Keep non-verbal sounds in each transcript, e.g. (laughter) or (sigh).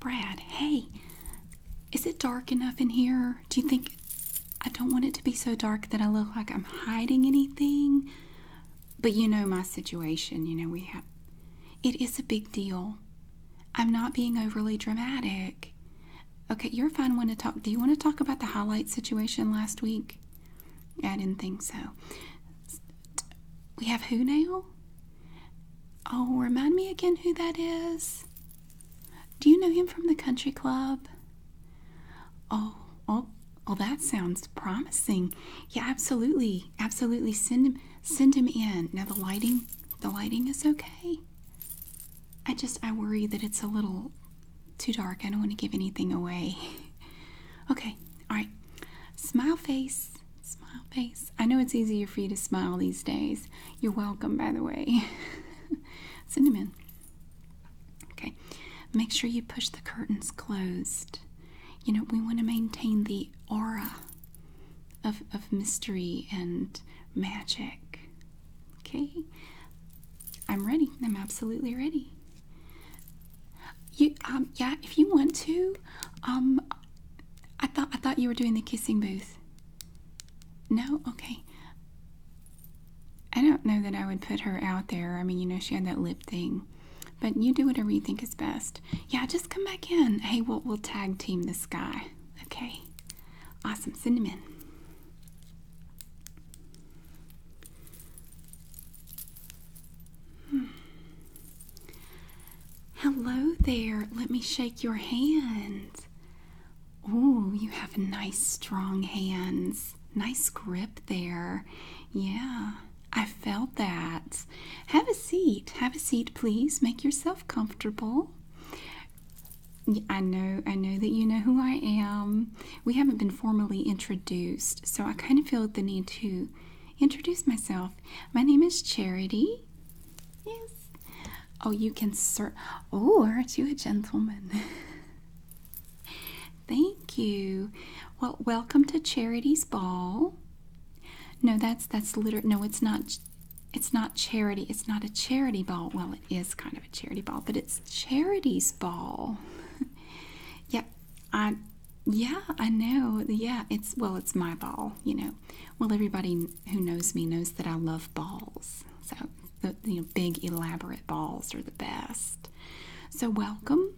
Brad, hey, is it dark enough in here? Do you think I don't want it to be so dark that I look like I'm hiding anything? But you know my situation, you know, we have it is a big deal. I'm not being overly dramatic. Okay, you're a fine one to talk. Do you want to talk about the highlight situation last week? I didn't think so. We have who now? Oh, remind me again who that is. Do you know him from the country club? Oh, oh, oh that sounds promising. Yeah, absolutely. Absolutely send him send him in. Now the lighting the lighting is okay. I just I worry that it's a little too dark. I don't want to give anything away. (laughs) okay, all right. Smile face. Smile face. I know it's easier for you to smile these days. You're welcome, by the way. Send them in. Okay. Make sure you push the curtains closed. You know, we want to maintain the aura of, of mystery and magic. Okay. I'm ready. I'm absolutely ready. You um yeah, if you want to, um, I thought I thought you were doing the kissing booth. No, okay. I don't know that I would put her out there. I mean, you know, she had that lip thing, but you do whatever you think is best. Yeah, just come back in. Hey, we'll we'll tag team this guy. Okay, awesome. cinnamon. Hmm. Hello there. Let me shake your hand. Oh, you have nice, strong hands. Nice grip there. Yeah, I felt that. Have a seat. Have a seat, please. Make yourself comfortable. I know, I know that you know who I am we haven't been formally introduced, so I kind of feel the need to introduce myself. My name is Charity. Yes. Oh, you can search. Oh, aren't you a gentleman? (laughs) Thank you. Well, welcome to Charity's Ball. No, that's that's literally no. It's not. It's not charity. It's not a charity ball. Well, it is kind of a charity ball, but it's Charity's Ball. (laughs) yep, I, yeah, I know. Yeah, it's, well, it's my ball, you know. Well, everybody who knows me knows that I love balls. So, the, big, elaborate balls are the best. So, welcome.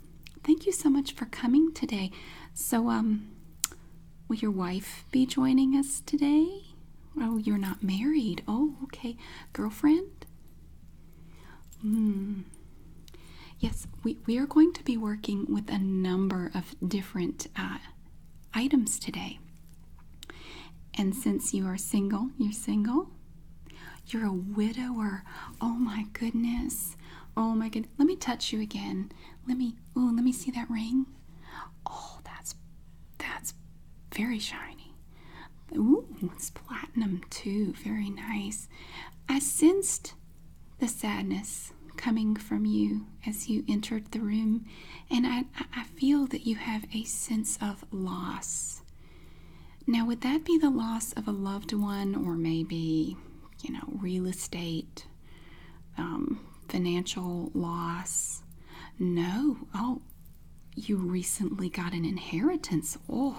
Thank you so much for coming today. So, um, will your wife be joining us today? Oh, you're not married. Oh, okay. Girlfriend? Hmm. Yes, we, we are going to be working with a number of different uh, items today. And since you are single, you're single, you're a widower. Oh my goodness. Oh my goodness. Let me touch you again. Let me, oh, let me see that ring. Oh, that's, that's very shiny. Ooh, it's platinum too. Very nice. I sensed the sadness coming from you as you entered the room, and I, I feel that you have a sense of loss. Now, would that be the loss of a loved one, or maybe, you know, real estate, um, financial loss? No. Oh, you recently got an inheritance. Oh,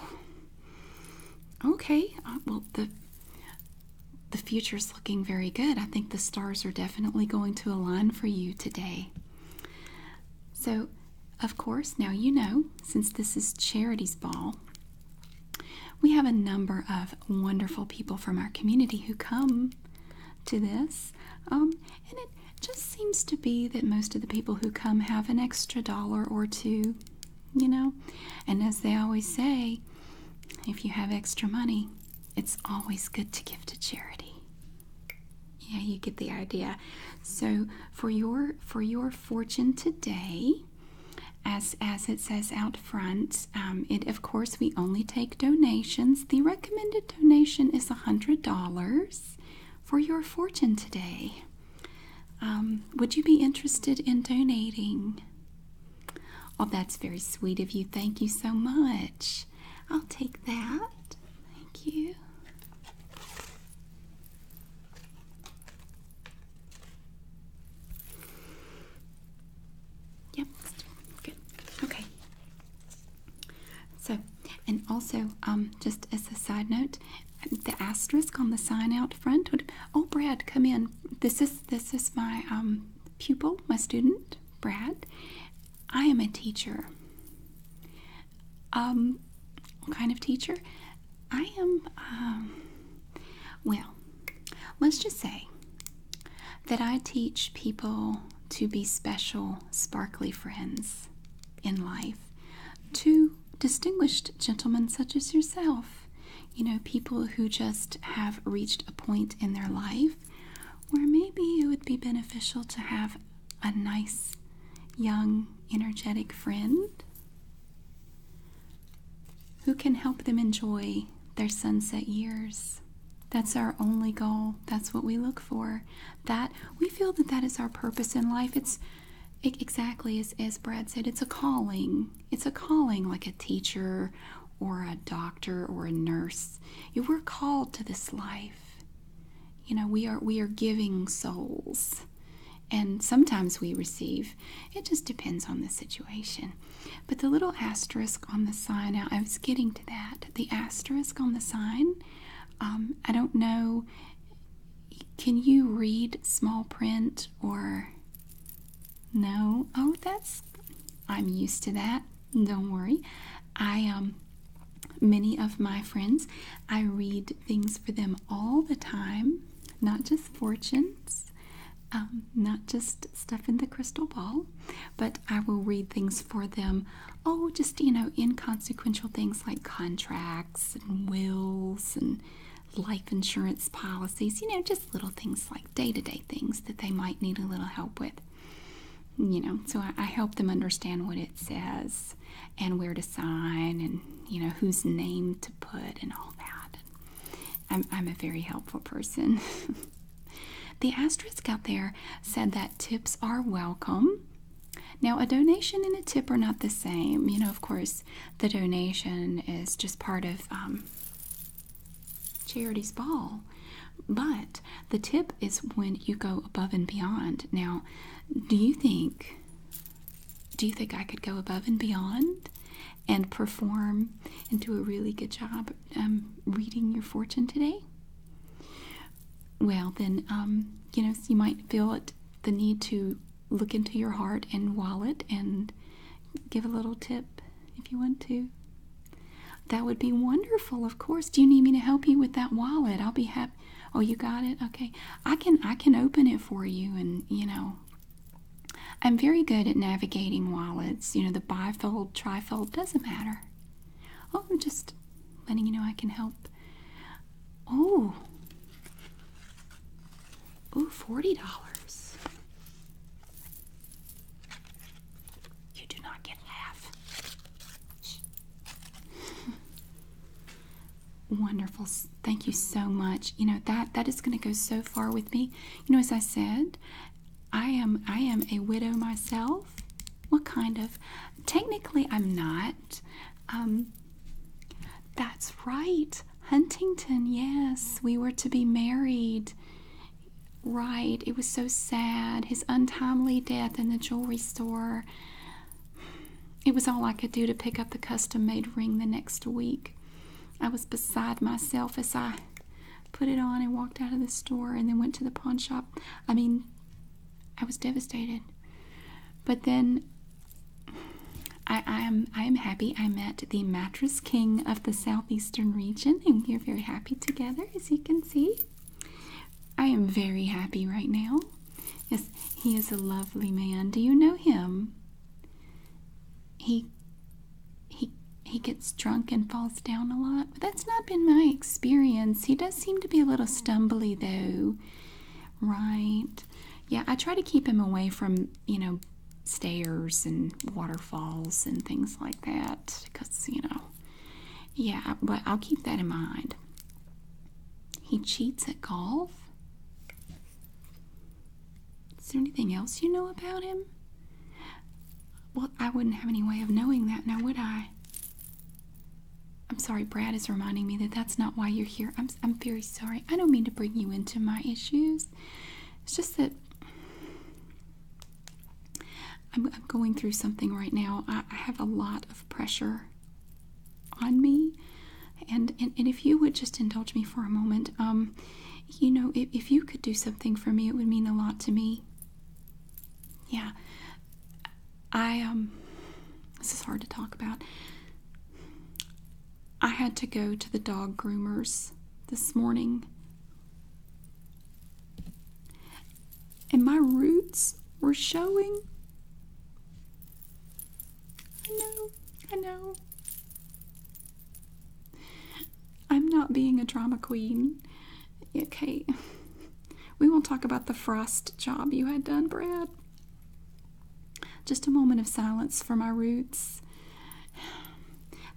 Okay, uh, well the the is looking very good. I think the stars are definitely going to align for you today. So, of course, now you know since this is Charity's Ball, we have a number of wonderful people from our community who come to this, um, and it just seems to be that most of the people who come have an extra dollar or two you know? And as they always say, if you have extra money, it's always good to give to charity. Yeah, you get the idea. So for your for your fortune today, as as it says out front, um, it of course we only take donations. The recommended donation is a hundred dollars for your fortune today. Um, would you be interested in donating? Oh, that's very sweet of you. Thank you so much. I'll take that. Thank you. Yep, good. Okay. So, and also, um, just as a side note, the asterisk on the sign out front would oh brad come in this is this is my um, pupil my student brad i am a teacher um kind of teacher i am um, well let's just say that i teach people to be special sparkly friends in life to distinguished gentlemen such as yourself. You know, people who just have reached a point in their life where maybe it would be beneficial to have a nice, young, energetic friend who can help them enjoy their sunset years. That's our only goal. That's what we look for. That we feel that that is our purpose in life. It's Exactly, as, as Brad said, it's a calling. It's a calling like a teacher or a doctor or a nurse. You were called to this life. You know, we are we are giving souls. And sometimes we receive. It just depends on the situation. But the little asterisk on the sign, Now, I was getting to that. The asterisk on the sign, um, I don't know can you read small print or no? Oh, that's I'm used to that. Don't worry. I um many of my friends, I read things for them all the time, not just fortunes, um, not just stuff in the crystal ball, but I will read things for them. Oh, just you know, inconsequential things like contracts and wills and life insurance policies, you know, just little things like day to day things that they might need a little help with. You know, so I, help them understand what it says and where to sign and, you know, whose name to put and all that. I'm a very helpful person. (laughs) the asterisk out there said that tips are welcome. Now, a donation and a tip are not the same. You know, of course, the donation is just part of um, Charity's Ball. But the tip is when you go above and beyond. Now, do you think do you think I could go above and beyond and perform and do a really good job um, reading your fortune today? Well, then um, you know you might feel the need to look into your heart and wallet and give a little tip if you want to. That would be wonderful, of course. Do you need me to help you with that wallet? I'll be happy. Oh, you got it? Okay. I can I can open it for you and, you know, I'm very good at navigating wallets. You know, the bifold, trifold doesn't matter. Oh, I'm just letting you know I can help. Oh. Ooh, $40. You do not get half. (laughs) Wonderful. Thank you so much. You know, that that is going to go so far with me. You know, as I said, I am I am a widow myself. What kind of? Technically, I'm not. Um, that's right. Huntington, yes. We were to be married. Right. It was so sad. His untimely death in the jewelry store. It was all I could do to pick up the custom made ring the next week. I was beside myself as I put it on and walked out of the store and then went to the pawn shop. I mean, I was devastated. But then I, am I am happy I met the mattress king of the southeastern region, and we are very happy together, as you can see. I am very happy right now. Yes, he is a lovely man. Do you know him? He he he gets drunk and falls down a lot, but that's not been my experience. He does seem to be a little stumbly though. Right. Yeah, I try to keep him away from you know, stairs and waterfalls and things like that because, you know, yeah, but I'll keep that in mind. He cheats at golf. Is there anything else you know about him? Well, I wouldn't have any way of knowing that now, would I? I'm sorry, Brad is reminding me that that's not why you're here. I'm I'm, very sorry. I don't mean to bring you into my issues. It's just that I'm, going through something right now. I, I have a lot of pressure on me. And, and, and if you would just indulge me for a moment, um, you know, if, if you could do something for me, it would mean a lot to me. Yeah. I, um, this is hard to talk about. I had to go to the dog groomers this morning. And my roots were showing. I know, I know. I'm not being a drama queen. Okay. (laughs) We won't talk about the frost job you had done, Brad. Just a moment of silence for my roots.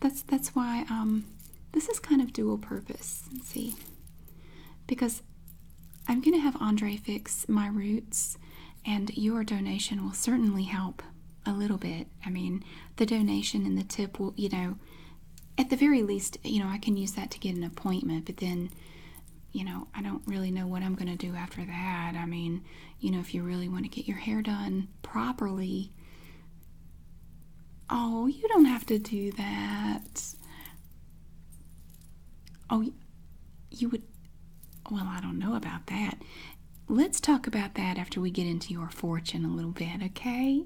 That's that's why um, this is kind of dual purpose. Let's see, because I'm going to have Andre fix my roots, and your donation will certainly help a little bit. I mean, the donation and the tip will, you know, at the very least, you know, I can use that to get an appointment, but then, you know, I don't really know what I'm going to do after that. I mean, you know, if you really want to get your hair done properly. Oh, you don't have to do that. Oh, you would. Well, I don't know about that. Let's talk about that after we get into your fortune a little bit, okay?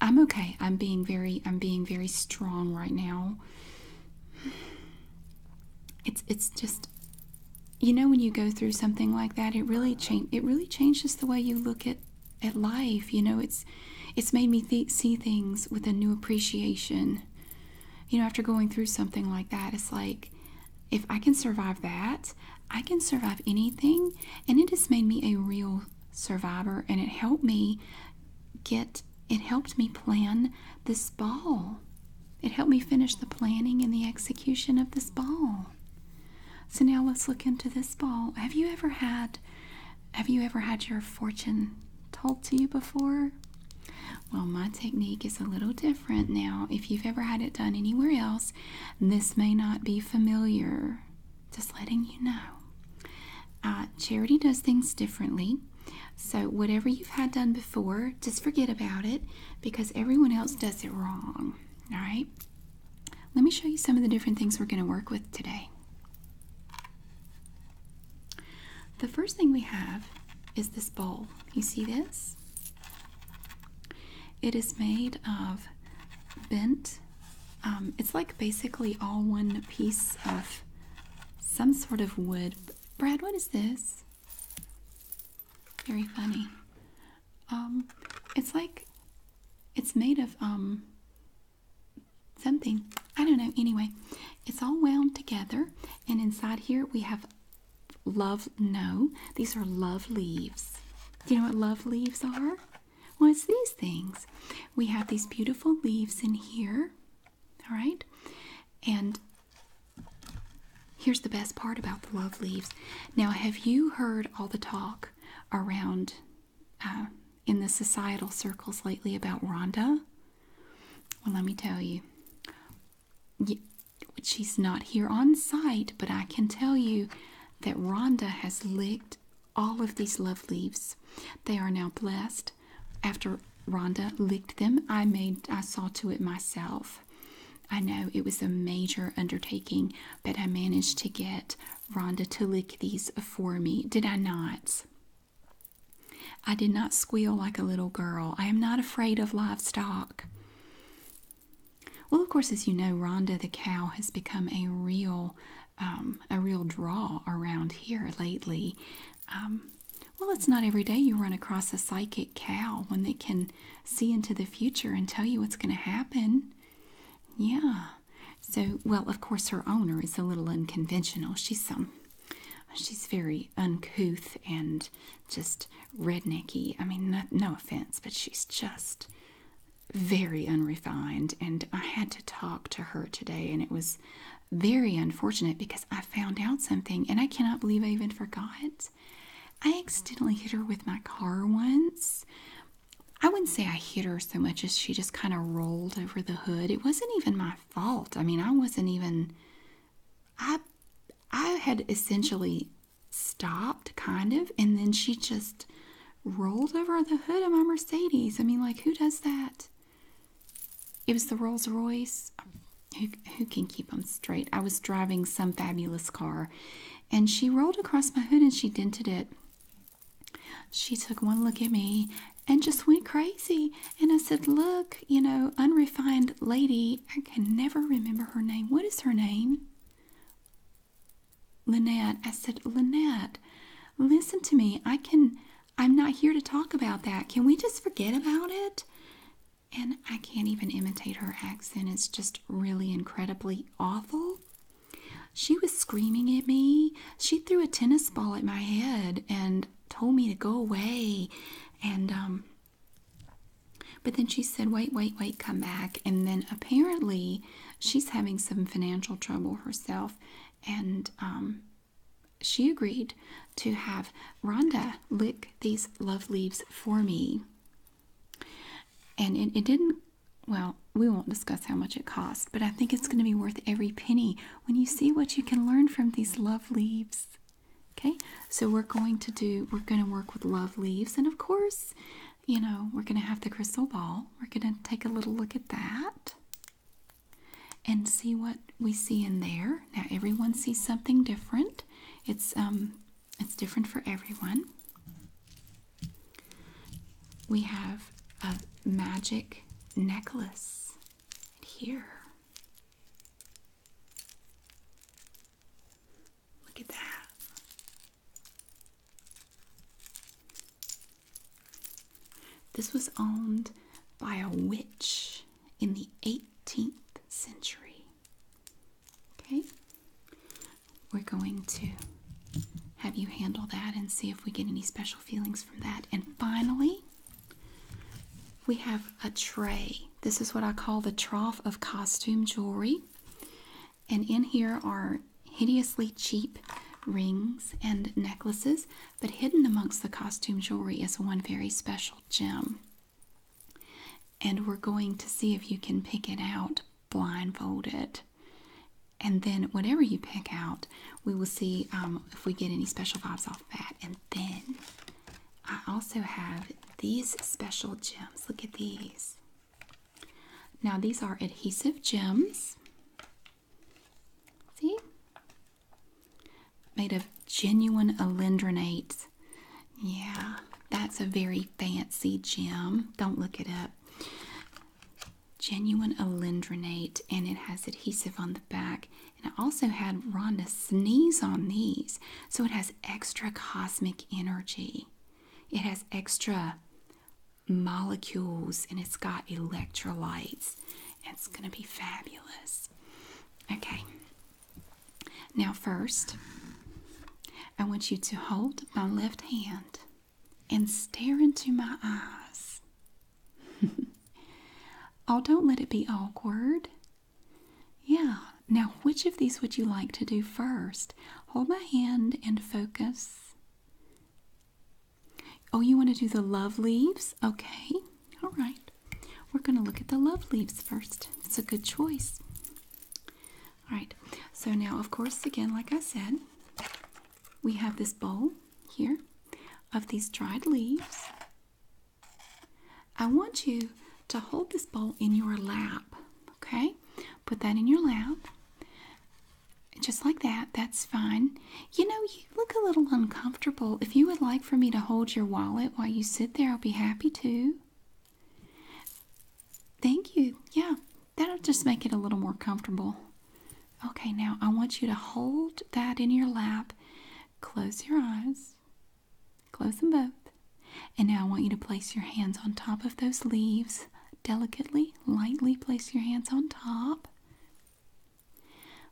I'm okay. I'm being very I'm being very strong right now. It's it's just you know when you go through something like that it really change it really changes the way you look at at life you know it's it's made me see things with a new appreciation you know after going through something like that it's like if i can survive that i can survive anything and it has made me a real survivor and it helped me get it helped me plan this ball it helped me finish the planning and the execution of this ball. So now let's look into this ball. Have you ever had have you ever had your fortune told to you before? Well, my technique is a little different now. If you've ever had it done anywhere else, this may not be familiar. Just letting you know. Uh, Charity does things differently. So, whatever you've had done before, just forget about it because everyone else does it wrong. All right? Let me show you some of the different things we're going to work with today. The first thing we have is this bowl. You see this? It is made of bent, um, it's like basically all one piece of some sort of wood. Brad, what is this? Very funny. Um, it's like it's made of um, something. I don't know. Anyway, it's all wound together, and inside here we have love. No, these are love leaves. you know what love leaves are? Well, it's these things. We have these beautiful leaves in here, all right? And Here's the best part about the love leaves. Now, have you heard all the talk around uh, in the societal circles lately about Rhonda? Well, let me tell you. She's not here on site, but I can tell you that Rhonda has licked all of these love leaves. They are now blessed. After Rhonda licked them, I made I saw to it myself. I know it was a major undertaking, but I managed to get Rhonda to lick these for me, did I not? I did not squeal like a little girl. I am not afraid of livestock. Well, of course, as you know, Rhonda the cow has become a real, um, a real draw around here lately. Um, well, it's not every day you run across a psychic cow, one that can see into the future and tell you what's going to happen. Yeah. So, well, of course, her owner is a little unconventional. She's some, um, she's very uncouth and just rednecky. I mean, no, offense, but she's just very unrefined. And I had to talk to her today, and it was very unfortunate because I found out something, and I cannot believe I even forgot. I accidentally hit her with my car once. I wouldn't say I hit her so much as she just kind of rolled over the hood. It wasn't even my fault. I mean, I wasn't even I I had essentially stopped kind of and then she just rolled over the hood of my Mercedes. I mean, like who does that? It was the Rolls-Royce. Who, who can keep them straight? I was driving some fabulous car and she rolled across my hood and she dented it. She took one look at me and just went crazy. And I said, Look, you know, unrefined lady, I can never remember her name. What is her name? Lynette. I said, Lynette, listen to me. I can, I'm not here to talk about that. Can we just forget about it? And I can't even imitate her accent. It's just really incredibly awful. She was screaming at me. She threw a tennis ball at my head and told me to go away. And, um, but then she said, wait, wait, wait, come back. And then apparently she's having some financial trouble herself. And, um, she agreed to have Rhonda lick these love leaves for me. And it didn't, well, we won't discuss how much it cost, but I think it's going to be worth every penny when you see what you can learn from these love leaves. Okay, so we're going to do, we're going to work with love leaves. And of course, you know, we're going to have the crystal ball. We're going to take a little look at that and see what we see in there. Now, everyone sees something different. It's um, it's different for everyone. We have a magic necklace here. Look at that. This was owned by a witch in the 18th century. Okay? We're going to have you handle that and see if we get any special feelings from that. And finally, we have a tray. This is what I call the trough of costume jewelry. And in here are hideously cheap rings and necklaces, but hidden amongst the costume jewelry is one very special gem. And we're going to see if you can pick it out blindfolded. And then, whatever you pick out, we will see um, if we get any special vibes off that. And then, I also have these special gems. Look at these. Now, these are adhesive gems. See? made of genuine alendronate. Yeah, that's a very fancy gem. Don't look it up. Genuine alendronate, and it has adhesive on the back. And I also had Rhonda sneeze on these, so it has extra cosmic energy. It has extra molecules, and it's got electrolytes. It's going to be fabulous. Okay, now, first, I want you to hold my left hand and stare into my eyes. (laughs) oh, don't let it be awkward. Yeah. Now, which of these would you like to do first? Hold my hand and focus. Oh, you want to do the love leaves? Okay. All right. We're going to look at the love leaves first. It's a good choice. All right. So now, of course, again, like I said, we have this bowl here of these dried leaves. I want you to hold this bowl in your lap, okay? Put that in your lap. Just like that, that's fine. You know, you look a little uncomfortable. If you would like for me to hold your wallet while you sit there, I'll be happy to. Thank you. Yeah, that'll just make it a little more comfortable. Okay, now I want you to hold that in your lap. Close your eyes. Close them both. And now I want you to place your hands on top of those leaves. Delicately, lightly place your hands on top.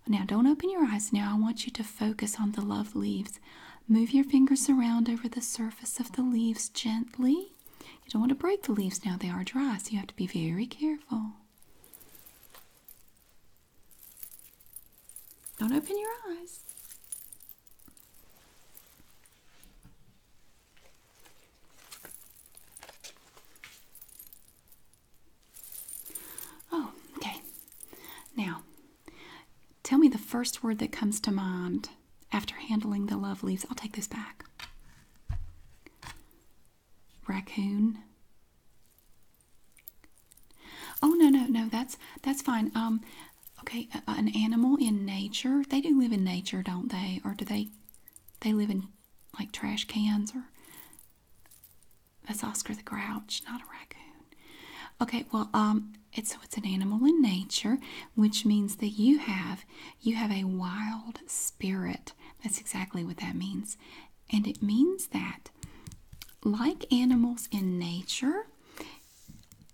Now, don't open your eyes. Now, I want you to focus on the love leaves move your fingers around over the surface of the leaves gently. You don't want to break the leaves now, they are dry, so you have to be very careful. Don't open your eyes. Oh, okay. Now, Tell me the first word that comes to mind after handling the love leaves. I'll take this back. Raccoon. Oh no no no that's that's fine. Um, okay, an animal in nature. They do live in nature, don't they? Or do they? They live in like trash cans or. That's Oscar the Grouch, not a raccoon. Okay, well, um, it's, so it's an animal in nature, which means that you have you have a wild spirit. That's exactly what that means, and it means that, like animals in nature,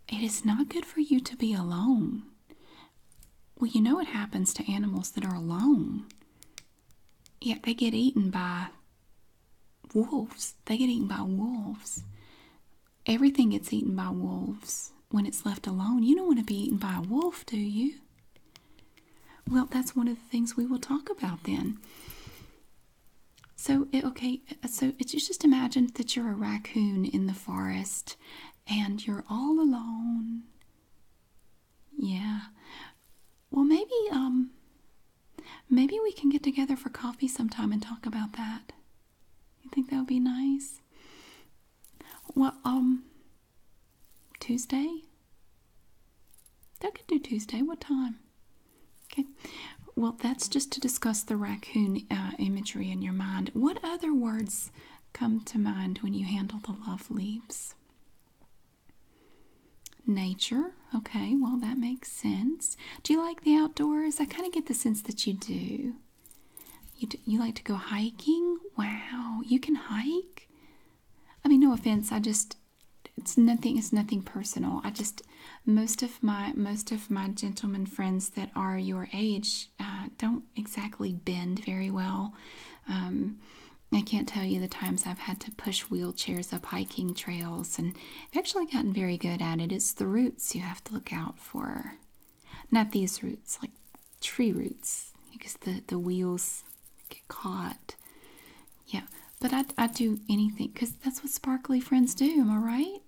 it is not good for you to be alone. Well, you know what happens to animals that are alone. Yet they get eaten by wolves. They get eaten by wolves. Everything gets eaten by wolves when it's left alone. You don't want to be eaten by a wolf, do you? Well, that's one of the things we will talk about then. So, it, okay, uh, so it's just imagine that you're a raccoon in the forest and you're all alone. Yeah. Well, maybe um Maybe we can get together for coffee sometime and talk about that. You think that would be nice? Well, um, Tuesday? That could do Tuesday. What time? Okay. Well, that's just to discuss the raccoon uh, imagery in your mind. What other words come to mind when you handle the love leaves? Nature, Okay, well, that makes sense. Do you like the outdoors? I kind of get the sense that you do. You, you like to go hiking? Wow, you can hike? I mean, no offense. I just it's nothing. It's nothing personal. I just most of my most of my gentleman friends that are your age uh, don't exactly bend very well. Um, I can't tell you the times I've had to push wheelchairs up hiking trails, and I've actually gotten very good at it. It's the roots you have to look out for. Not these roots, like tree roots, because the, the wheels get caught. Yeah, but I, I do anything because that's what sparkly friends do, am I right?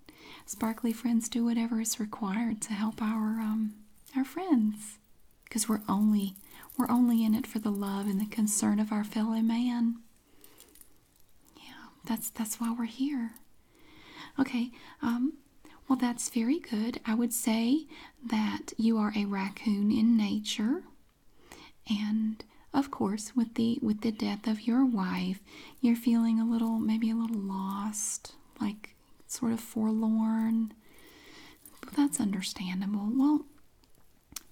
Sparkly friends do whatever is required to help our um our friends because we're only we're only in it for the love and the concern of our fellow man yeah, that's that's why we're here. Okay. Um, well that's very good. I would say that you are a raccoon in nature. And of course, with the with the death of your wife, you're feeling a little maybe a little lost, like sort of forlorn. Well, that's understandable. Well,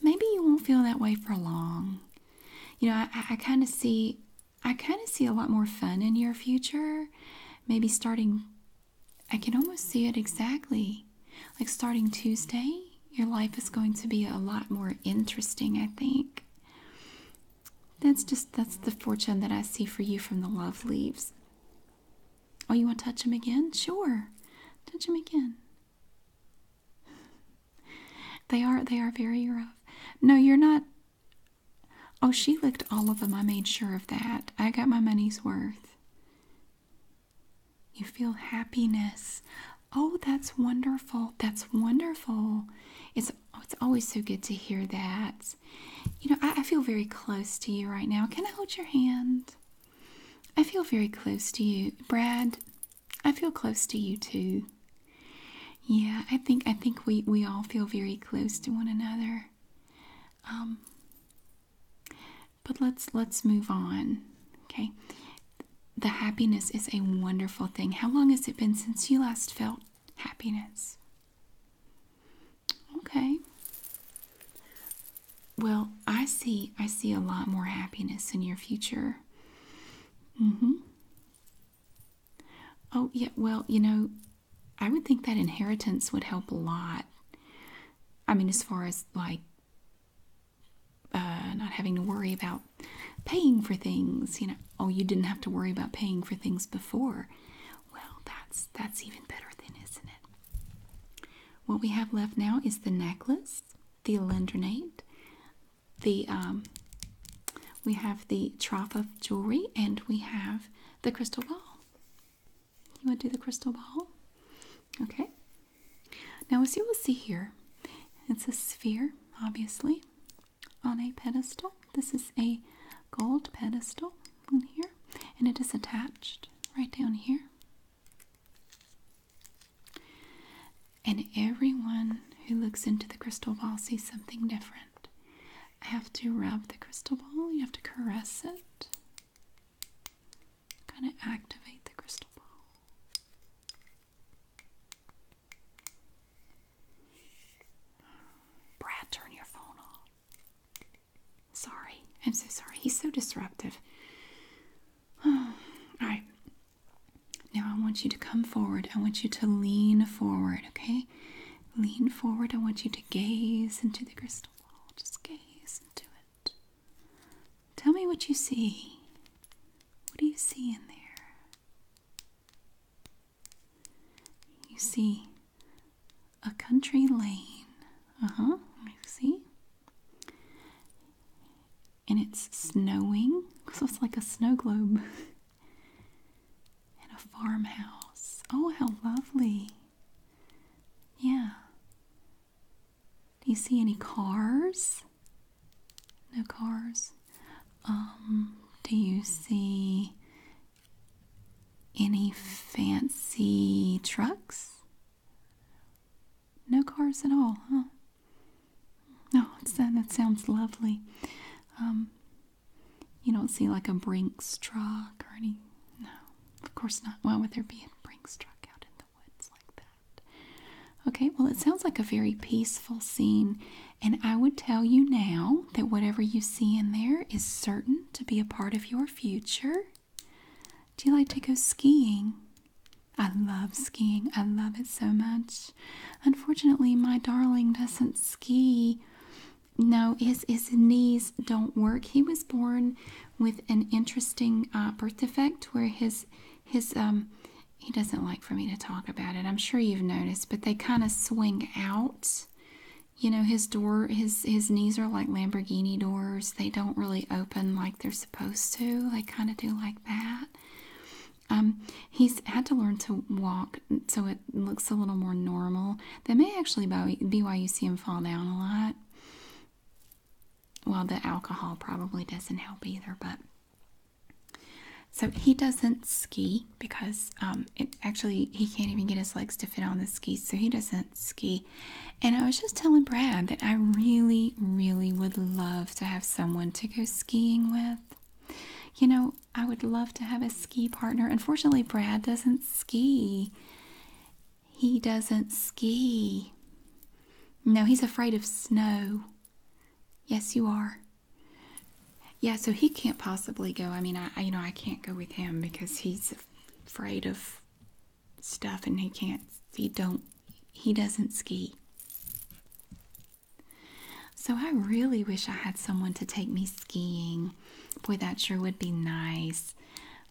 maybe you won't feel that way for long you know, I, kind of see, I kind of see a lot more fun in your future. Maybe starting, I can almost see it exactly. Like starting Tuesday, your life is going to be a lot more interesting, I think. That's just, that's the fortune that I see for you from the love leaves. Oh, you want to touch him again? Sure. Touch him again they are they are very rough. No, you're not. Oh, she licked all of them. I made sure of that. I got my money's worth. You feel happiness. Oh, that's wonderful. That's wonderful. It's oh, it's always so good to hear that. You know, I feel very close to you right now. Can I hold your hand? I feel very close to you. Brad, I feel close to you too. Yeah, I think I think we, we all feel very close to one another. Um, but let's let's move on. Okay. The happiness is a wonderful thing. How long has it been since you last felt happiness? Okay. Well, I see I see a lot more happiness in your future. Mhm. Oh, yeah, well, you know, I would think that inheritance would help a lot. I mean, as far as like uh, not having to worry about paying for things, you know, oh, you didn't have to worry about paying for things before. Well, that's that's even better then, isn't it? What we have left now is the necklace, the alendronate, the um, we have the trough of jewelry and we have the crystal ball. You want to do the crystal ball? Okay. Now, as you will see here, it's a sphere, obviously, on a pedestal. This is a gold pedestal in here, and it is attached right down here. And everyone who looks into the crystal ball sees something different. I have to rub the crystal ball, you have to caress it, kind of activate the crystal ball. Brad, turn your phone off. Sorry, I'm so sorry. He's so disruptive. (sighs) All right, now I want you to come forward. I want you to lean forward, okay? Lean forward. I want you to gaze into the crystal ball. Just gaze into it. Tell me what you see. What do you see in there? You see a country lane. Uh huh. You see? and it's snowing, so it's like a snow globe. and a farmhouse. Oh, how lovely! Yeah. Do you see any cars? No cars. Um, do you see any fancy trucks? No cars at all, huh? No, oh, that. sounds lovely. Um, you don't see like a brink struck or any. No, of course not. Why would there be a Brinks truck out in the woods like that? Okay, well, it sounds like a very peaceful scene. And I would tell you now that whatever you see in there is certain to be a part of your future. Do you like to go skiing? I love skiing. I love it so much. Unfortunately, my darling doesn't ski. No, his, his knees don't work. He was born with an interesting uh, birth defect where his his um he doesn't like for me to talk about it. I'm sure you've noticed, but they kind of swing out. You know, his door his his knees are like Lamborghini doors. They don't really open like they're supposed to. They kind of do like that. Um, he's had to learn to walk so it looks a little more normal. That may actually be why you see him fall down a lot. Well, the alcohol probably doesn't help either, but. So he doesn't ski because um, it actually he can't even get his legs to fit on the skis, so he doesn't ski. And I was just telling Brad that I really, really would love to have someone to go skiing with. You know, I would love to have a ski partner. Unfortunately, Brad doesn't ski. He doesn't ski. No, he's afraid of snow. Yes, you are. Yeah, so he can't possibly go. I mean, I you know, I can't go with him because he's afraid of stuff and he can't he don't he doesn't ski. So I really wish I had someone to take me skiing. Boy, that sure would be nice.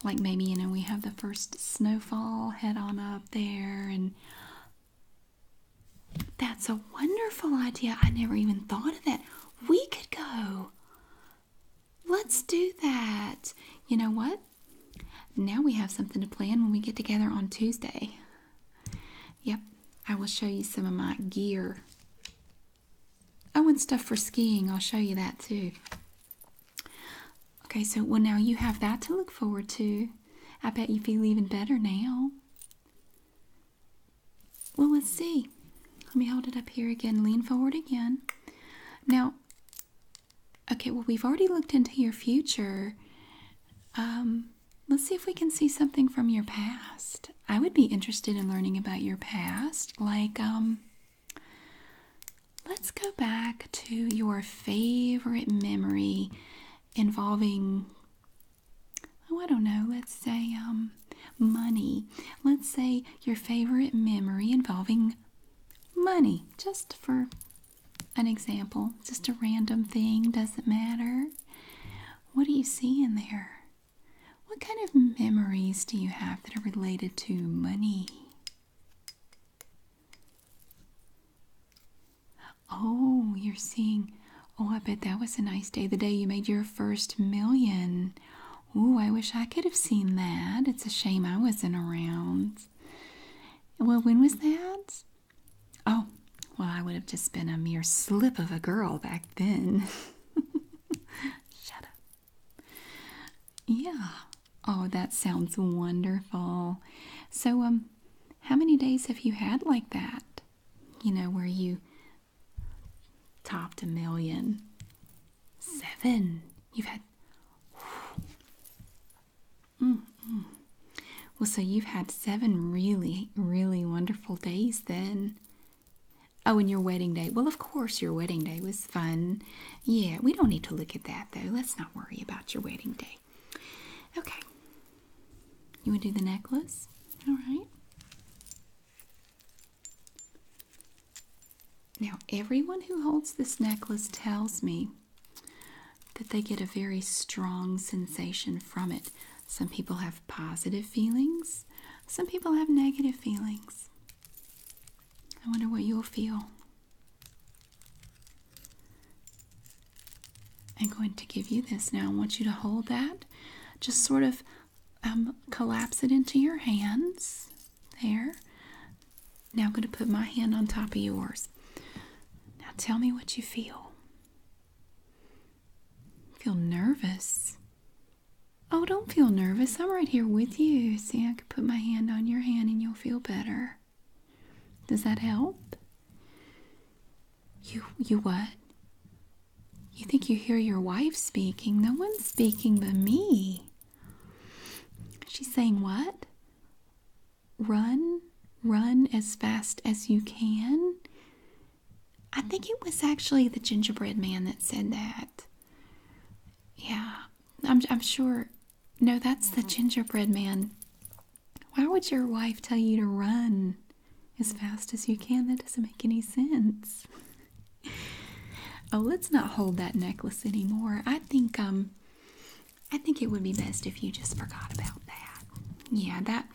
Like maybe, you know, we have the first snowfall head on up there and that's a wonderful idea. I never even thought of that. We could go. Let's do that. You know what? Now we have something to plan when we get together on Tuesday. Yep, I will show you some of my gear. Oh, and stuff for skiing. I'll show you that too. Okay, so well, now you have that to look forward to. I bet you feel even better now. Well, let's see. Let me hold it up here again. Lean forward again. Now, okay, well, we've already looked into your future. Um, let's see if we can see something from your past. I would be interested in learning about your past. Like, um, let's go back to your favorite memory involving, oh, I don't know, let's say, um, money. Let's say your favorite memory involving money, just for an example, just a random thing, doesn't matter. What do you see in there? What kind of memories do you have that are related to money? Oh, you're seeing. Oh, I bet that was a nice day, the day you made your first million. Oh, I wish I could have seen that. It's a shame I wasn't around. Well, when was that? Oh, well, I would have just been a mere slip of a girl back then. (laughs) Shut up. Yeah. Oh, that sounds wonderful. So, um, how many days have you had like that? You know, where you topped a million? Seven. You've had. Mm, Mm. Well, so you've had seven really, really wonderful days then. Oh, and your wedding day. Well, of course, your wedding day was fun. Yeah, we don't need to look at that though. Let's not worry about your wedding day. Okay. You want to do the necklace? All right. Now, everyone who holds this necklace tells me that they get a very strong sensation from it. Some people have positive feelings, some people have negative feelings. I wonder what you'll feel. I'm going to give you this now. I want you to hold that, just sort of um, collapse it into your hands. There. Now I'm going to put my hand on top of yours. Now tell me what you feel. Feel nervous. Oh, don't feel nervous. I'm right here with you. See, I could put my hand on your hand and you'll feel better. Does that help? You you what? You think you hear your wife speaking? No one's speaking but me. She's saying what? Run, run as fast as you can. I think it was actually the gingerbread man that said that. Yeah, I'm, sure. No, that's the mm-hmm. gingerbread man. Why would your wife tell you to run as fast as you can? That doesn't make any sense. oh, let's not hold that necklace anymore. I think um I think it would be best if you just forgot about that. Yeah, that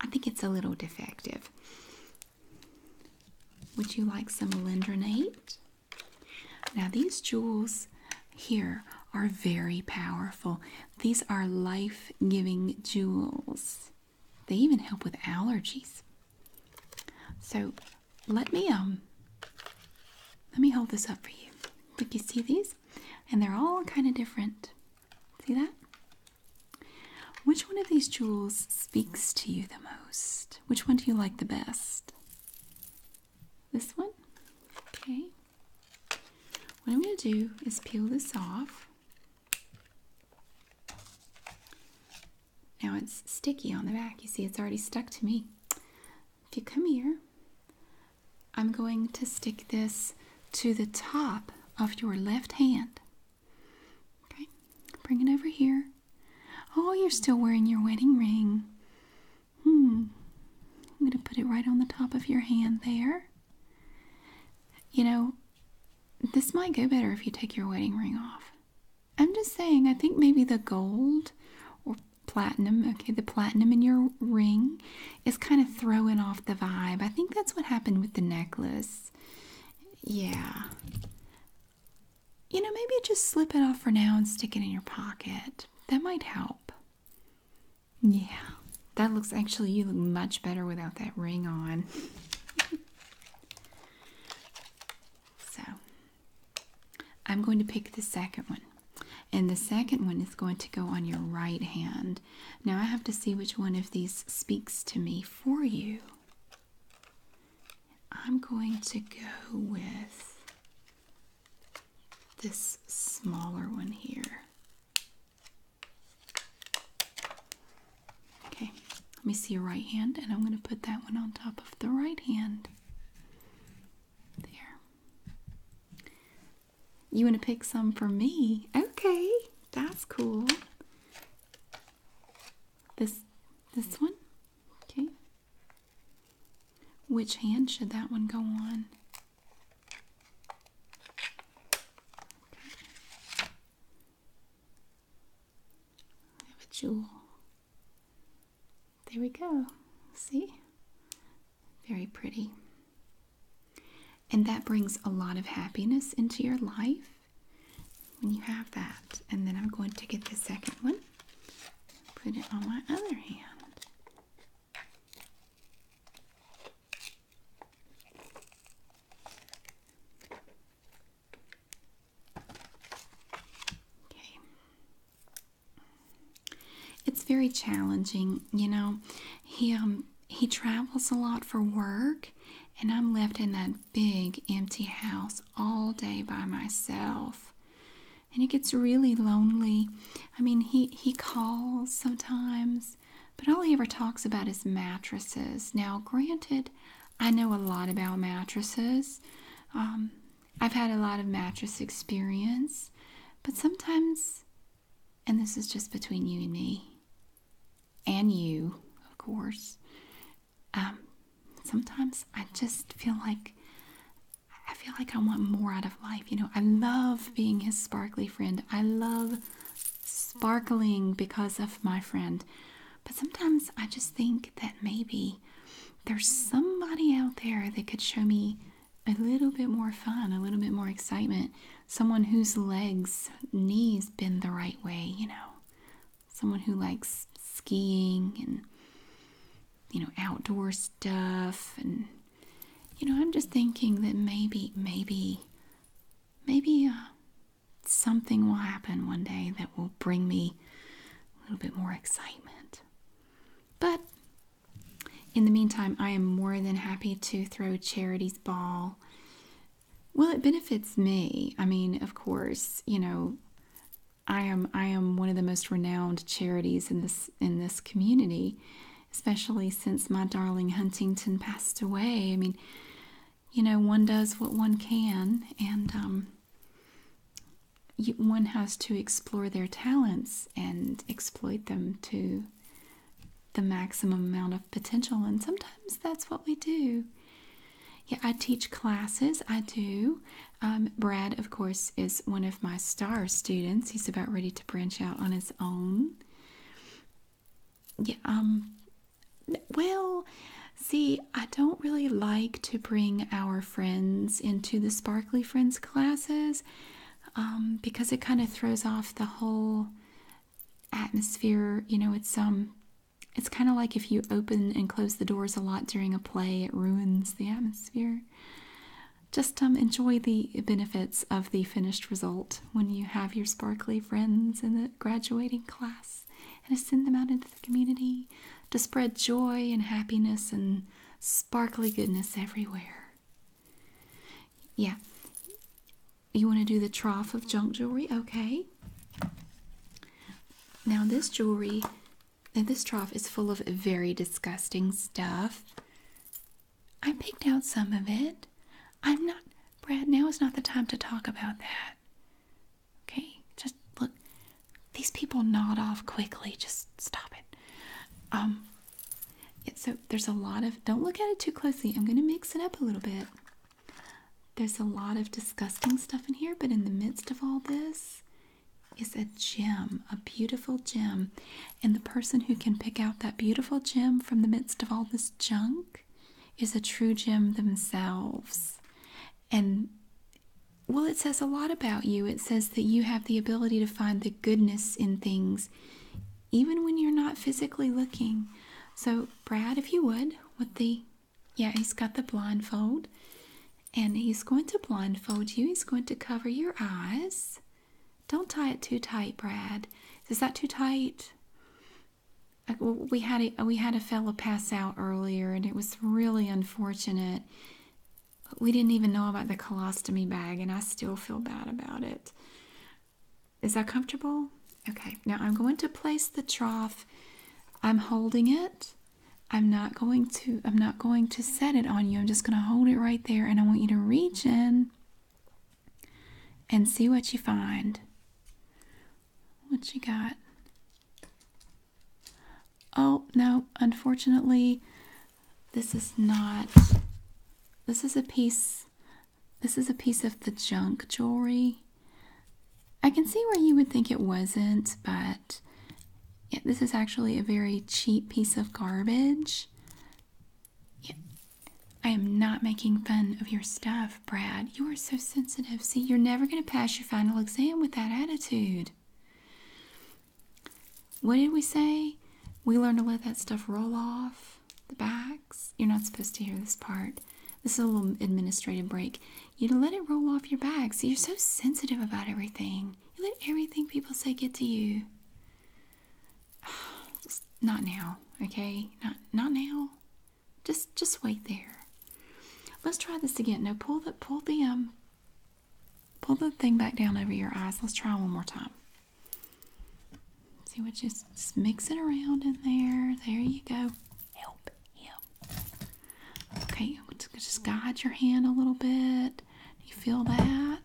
I think it's a little defective. Would you like some alendronate? Now, these jewels here are very powerful. These are life giving jewels. They even help with allergies. So, let me um let me hold this up for you. Look, you see these? And they're all kind of different. See that? Which one of these jewels speaks to you the most? Which one do you like the best? This one? Okay. What I'm going to do is peel this off. Now it's sticky on the back. You see, it's already stuck to me. If you come here, I'm going to stick this to the top of your left hand. Okay, bring it over here. Oh, you're still wearing your wedding ring. Hmm. I'm going to put it right on the top of your hand there. You know, this might go better if you take your wedding ring off. I'm just saying, I think maybe the gold or platinum, okay, the platinum in your ring is kind of throwing off the vibe. I think that's what happened with the necklace. Yeah. You know, maybe just slip it off for now and stick it in your pocket. That might help. Yeah. That looks actually, you look much better without that ring on. (laughs) so, I'm going to pick the second one. And the second one is going to go on your right hand. Now I have to see which one of these speaks to me for you. I'm going to go with this smaller one here. Okay, let me see your right hand, and I'm going to put that one on top of the right hand. There. You want to pick some for me? Okay, that's cool. This this one? Okay. Which hand should that one go on? Okay. have a jewel. There we go. See? Very pretty. And that brings a lot of happiness into your life when you have that. And then I'm going to get the second one, put it on my other hand. Okay. It's very challenging, you know. He um he travels a lot for work, and I'm left in that big empty house all day by myself. And it gets really lonely. I mean, he, he calls sometimes, but all he ever talks about is mattresses. Now, granted, I know a lot about mattresses. Um, I've had a lot of mattress experience, but sometimes and this is just between you and me, and you, of course, um, sometimes I just feel like I feel like I want more out of life. You know, I love being his sparkly friend. I love sparkling because of my friend. But sometimes I just think that maybe there's somebody out there that could show me a little bit more fun, a little bit more excitement. Someone whose legs, knees bend the right way, you know. Someone who likes skiing and, you know, outdoor stuff. And, you know, I'm just thinking that maybe, maybe, maybe uh, something will happen one day that will bring me a little bit more excitement. But in the meantime, I am more than happy to throw charity's ball. Well, it benefits me. I mean, of course, you know, I am I am one of the most renowned charities in this in this community, especially since my darling Huntington passed away. I mean, you know, one does what one can, and um, one has to explore their talents and exploit them to the maximum amount of potential. And sometimes that's what we do. Yeah, I teach classes. I do. Um, Brad, of course, is one of my star students. He's about ready to branch out on his own. Yeah, um, well, see, I don't really like to bring our friends into the Sparkly Friends classes um, because it kind of throws off the whole atmosphere. You know, it's um, it's kind of like if you open and close the doors a lot during a play, it ruins the atmosphere. Just um, enjoy the benefits of the finished result when you have your sparkly friends in the graduating class and to send them out into the community to spread joy and happiness and sparkly goodness everywhere. Yeah. You want to do the trough of junk jewelry? Okay. Now, this jewelry, this trough is full of very disgusting stuff. I picked out some of it. I'm not, Brad, now is not the time to talk about that. Okay, just look. These people nod off quickly. Just stop it. Um, so there's a lot of don't look at it too closely i'm going to mix it up a little bit there's a lot of disgusting stuff in here but in the midst of all this is a gem a beautiful gem and the person who can pick out that beautiful gem from the midst of all this junk is a true gem themselves and well it says a lot about you it says that you have the ability to find the goodness in things even when you're not physically looking. So, Brad, if you would, with the yeah, he's got the blindfold and he's going to blindfold you. He's going to cover your eyes. Don't tie it too tight, Brad. Is that too tight? Uh, we had a, we had a fellow pass out earlier, and it was really unfortunate. We didn't even know about the colostomy bag, and I still feel bad about it. Is that comfortable? Okay, now I'm going to place the trough. I'm holding it. I'm not going to I'm not going to set it on you. I'm just going to hold it right there and I want you to reach in and see what you find. What you got? Oh, no, unfortunately this is not this is a piece this is a piece of the junk jewelry. I can see where you would think it wasn't, but this is actually a very cheap piece of garbage. I am not making fun of your stuff, Brad. You are so sensitive. See, you're never going to pass your final exam with that attitude. What did we say? We learned to let that stuff roll off the backs. You're not supposed to hear this part. This is a little administrative break. You let it roll off your back. See, you're so sensitive about everything. You let everything people say get to you. (sighs) not now, okay? Not not now. Just just wait there. Let's try this again. No, pull the pull the um pull the thing back down over your eyes. Let's try one more time. See what just, just it around in there. There you go. Help him. Okay, just guide your hand a little bit. You feel that?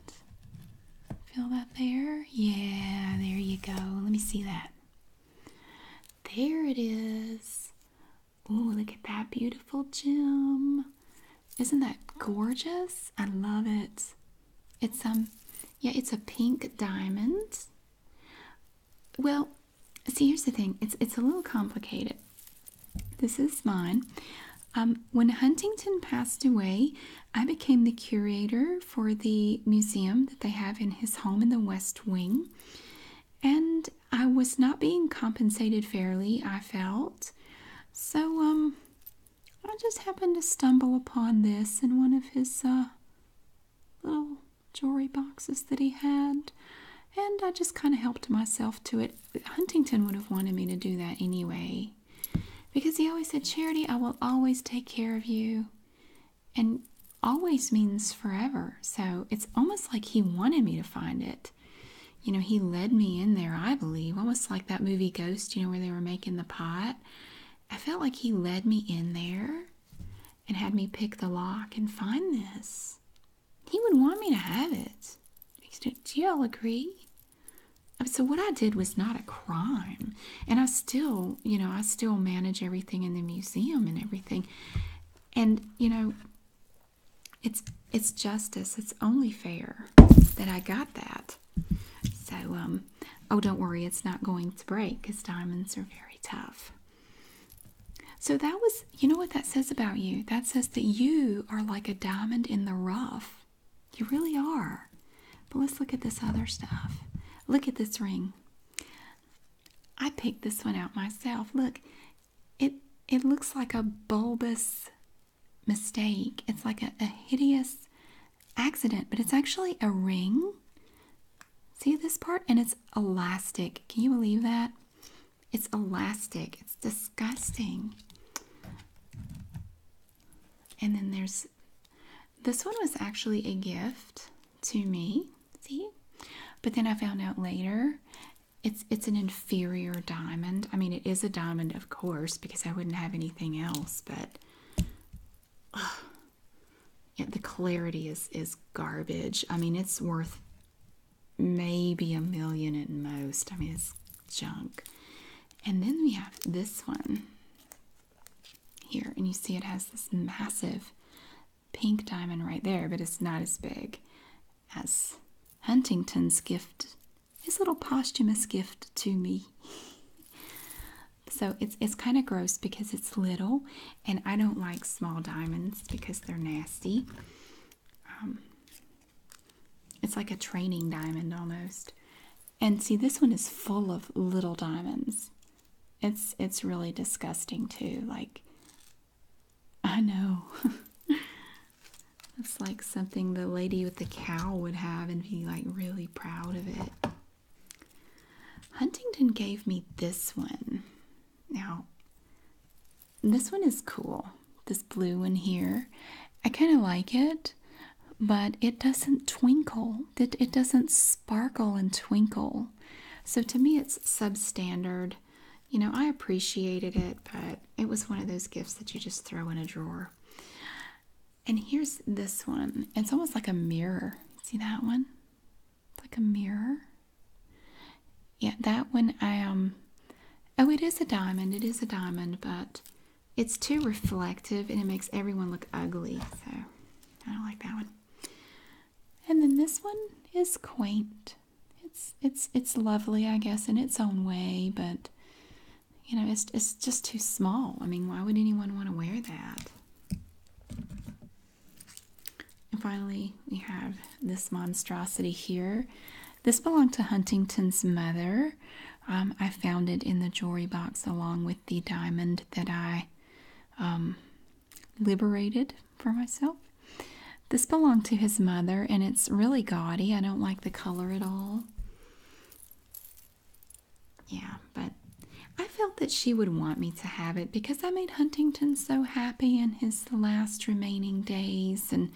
Feel that there? Yeah, there you go. Let me see that. There it is. Ooh, look at that beautiful gem. Isn't that gorgeous? I love it. It's um yeah, it's a pink diamond. Well, see here's the thing. It's it's a little complicated. This is mine. Um, when Huntington passed away, I became the curator for the museum that they have in his home in the West Wing. And I was not being compensated fairly, I felt. So, um, I just happened to stumble upon this in one of his uh, little jewelry boxes that he had, and I just kind of helped myself to it. Huntington would have wanted me to do that anyway, because he always said, Charity, I will always take care of you. And always means forever. So it's almost like he wanted me to find it. You know, he led me in there, I believe. Almost like that movie Ghost, you know, where they were making the pot I felt like he led me in there and had me pick the lock and find this. He would want me to have it. Do y'all agree? Uh, so, what I did was not a crime. And I still, you know, I still manage everything in the museum and everything. And, you know, it's it's justice. It's only fair that I got that. So, um, oh, don't worry, it's not going to break because diamonds are very tough. So, that was, you know what that says about you? That says that you are like a diamond in the rough. You really are. But let's look at this other stuff. Look at this ring. I picked this one out myself. Look, it it looks like a bulbous mistake. It's like a hideous accident, but it's actually a ring. See this part? And it's elastic. Can you believe that? It's elastic. It's disgusting. And then there's this one was actually a gift to me. See? But then I found out later it's it's an inferior diamond. I mean, it is a diamond, of course, because I wouldn't have anything else, but (sighs) yeah, the clarity is is garbage. I mean, it's worth maybe a million at most. I mean, it's junk. And then we have this one here, and you see it has this massive pink diamond right there, but it's not as big as Huntington's gift, his little posthumous gift to me. (laughs) So it's it's kind of gross because it's little, and I don't like small diamonds because they're nasty. Um, it's like a training diamond almost. And see, this one is full of little diamonds. It's it's really disgusting too. Like, I know. (laughs) It's like something the lady with the cow would have and be like really proud of it. Huntington gave me this one. Now, this one is cool. This blue one here. I kind of like it, but it doesn't twinkle. It, doesn't sparkle and twinkle. So to me, it's substandard. You know, I appreciated it, but it was one of those gifts that you just throw in a drawer. And here's this one. It's almost like a mirror. See that one? It's like a mirror. Yeah, that one I um oh it is a diamond, it is a diamond, but it's too reflective and it makes everyone look ugly. So I don't like that one. And then this one is quaint. It's it's it's lovely, I guess, in its own way, but you know, it's, it's just too small. I mean, why would anyone want to wear that? And finally, we have this monstrosity here. This belonged to Huntington's mother. Um, I found it in the jewelry box along with the diamond that I um, liberated for myself. This belonged to his mother and it's really gaudy. I don't like the color at all. Yeah, but I felt that she would want me to have it because I made Huntington so happy in his last remaining days. And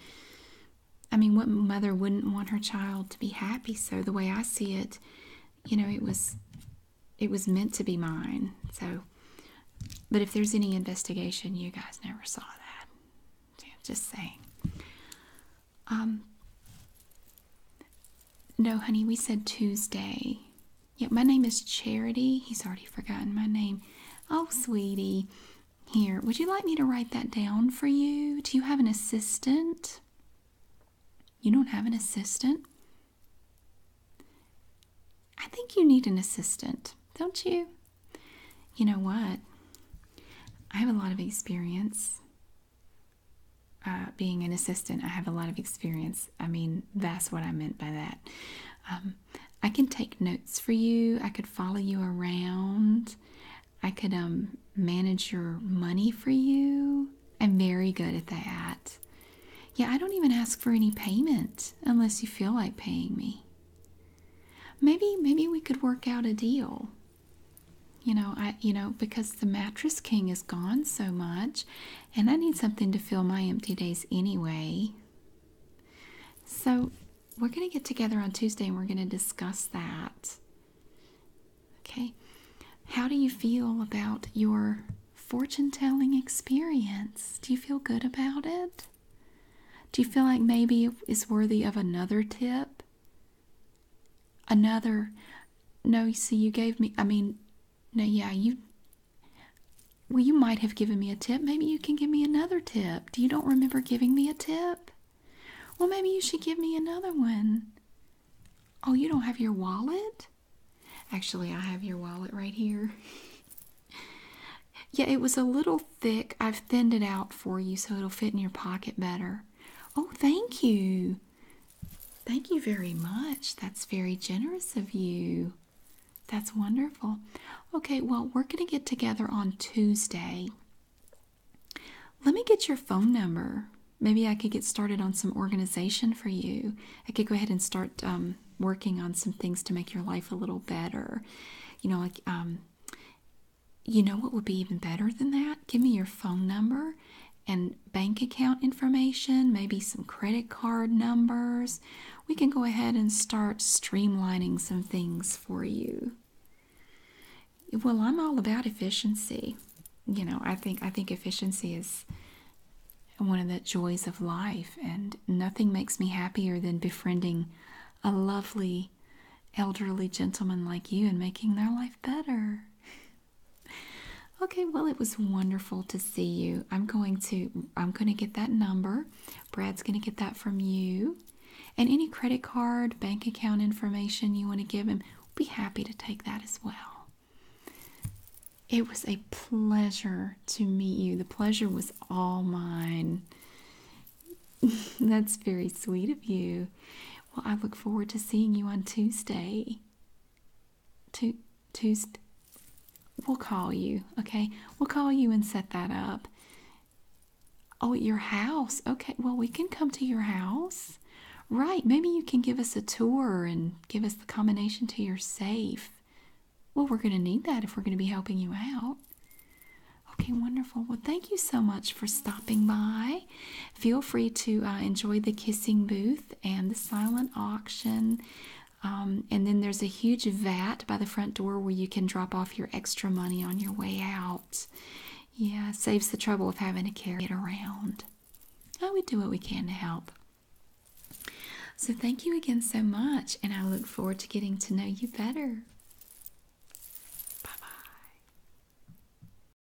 I mean, what mother wouldn't want her child to be happy? So the way I see it, you know, it was it was meant to be mine. So, but if there's any investigation, you guys never saw that. just saying. Um, no, honey, we said Tuesday. Yet my name is Charity. He's already forgotten my name. Oh, sweetie. Here, would you like me to write that down for you? Do you have an assistant? You don't have an assistant? I think you need an assistant, don't you? You know what? I have a lot of experience. Uh, being an assistant, I have a lot of experience. I mean, that's what I meant by that. Um, I can take notes for you. I could follow you around. I could um, manage your money for you. I'm very good at that. Yeah, I don't even ask for any payment unless you feel like paying me. Maybe, maybe we could work out a deal. You know, I you know, because the mattress king is gone so much and I need something to fill my empty days anyway. So, we're going to get together on Tuesday and we're going to discuss that. Okay. How do you feel about your fortune telling experience? Do you feel good about it? Do you feel like maybe it's worthy of another tip? another. No, you see, you gave me. I mean, no, yeah, you. Well, you might have given me a tip. Maybe you can give me another tip. Do you don't remember giving me a tip? Well, maybe you should give me another one. Oh, you don't have your wallet? Actually, I have your wallet right here. (laughs) yeah, it was a little thick. I've thinned it out for you so it'll fit in your pocket better. Oh, thank you. Thank you very much. That's very generous of you. That's wonderful. Okay, well, we're going to get together on Tuesday. Let me get your phone number. Maybe I could get started on some organization for you. I could go ahead and start um, working on some things to make your life a little better. You know, like, um, you know what would be even better than that? Give me your phone number and bank account information, maybe some credit card numbers, we can go ahead and start streamlining some things for you. Well, I'm all about efficiency. You know, I think I think efficiency is one of the joys of life and nothing makes me happier than befriending a lovely elderly gentleman like you and making their life better. Okay, well, it was wonderful to see you. I'm going to I'm going to get that number. Brad's going to get that from you. And any credit card, bank account information you want to give him, we'll be happy to take that as well. It was a pleasure to meet you. The pleasure was all mine. (laughs) That's very sweet of you. Well, I look forward to seeing you on Tuesday. Tu- Tuesday. We'll call you, okay? We'll call you and set that up. Oh, at your house. Okay, well, we can come to your house. Right, maybe you can give us a tour and give us the combination to your safe. Well, we're going to need that if we're going to be helping you out. Okay, wonderful. Well, thank you so much for stopping by feel free to uh, enjoy the kissing booth and the silent auction. Um, and then there's a huge vat by the front door where you can drop off your extra money on your way out. Yeah, saves the trouble of having to carry it around. Oh, we do what we can to help. So, thank you again so much, and I look forward to getting to know you better. Bye bye.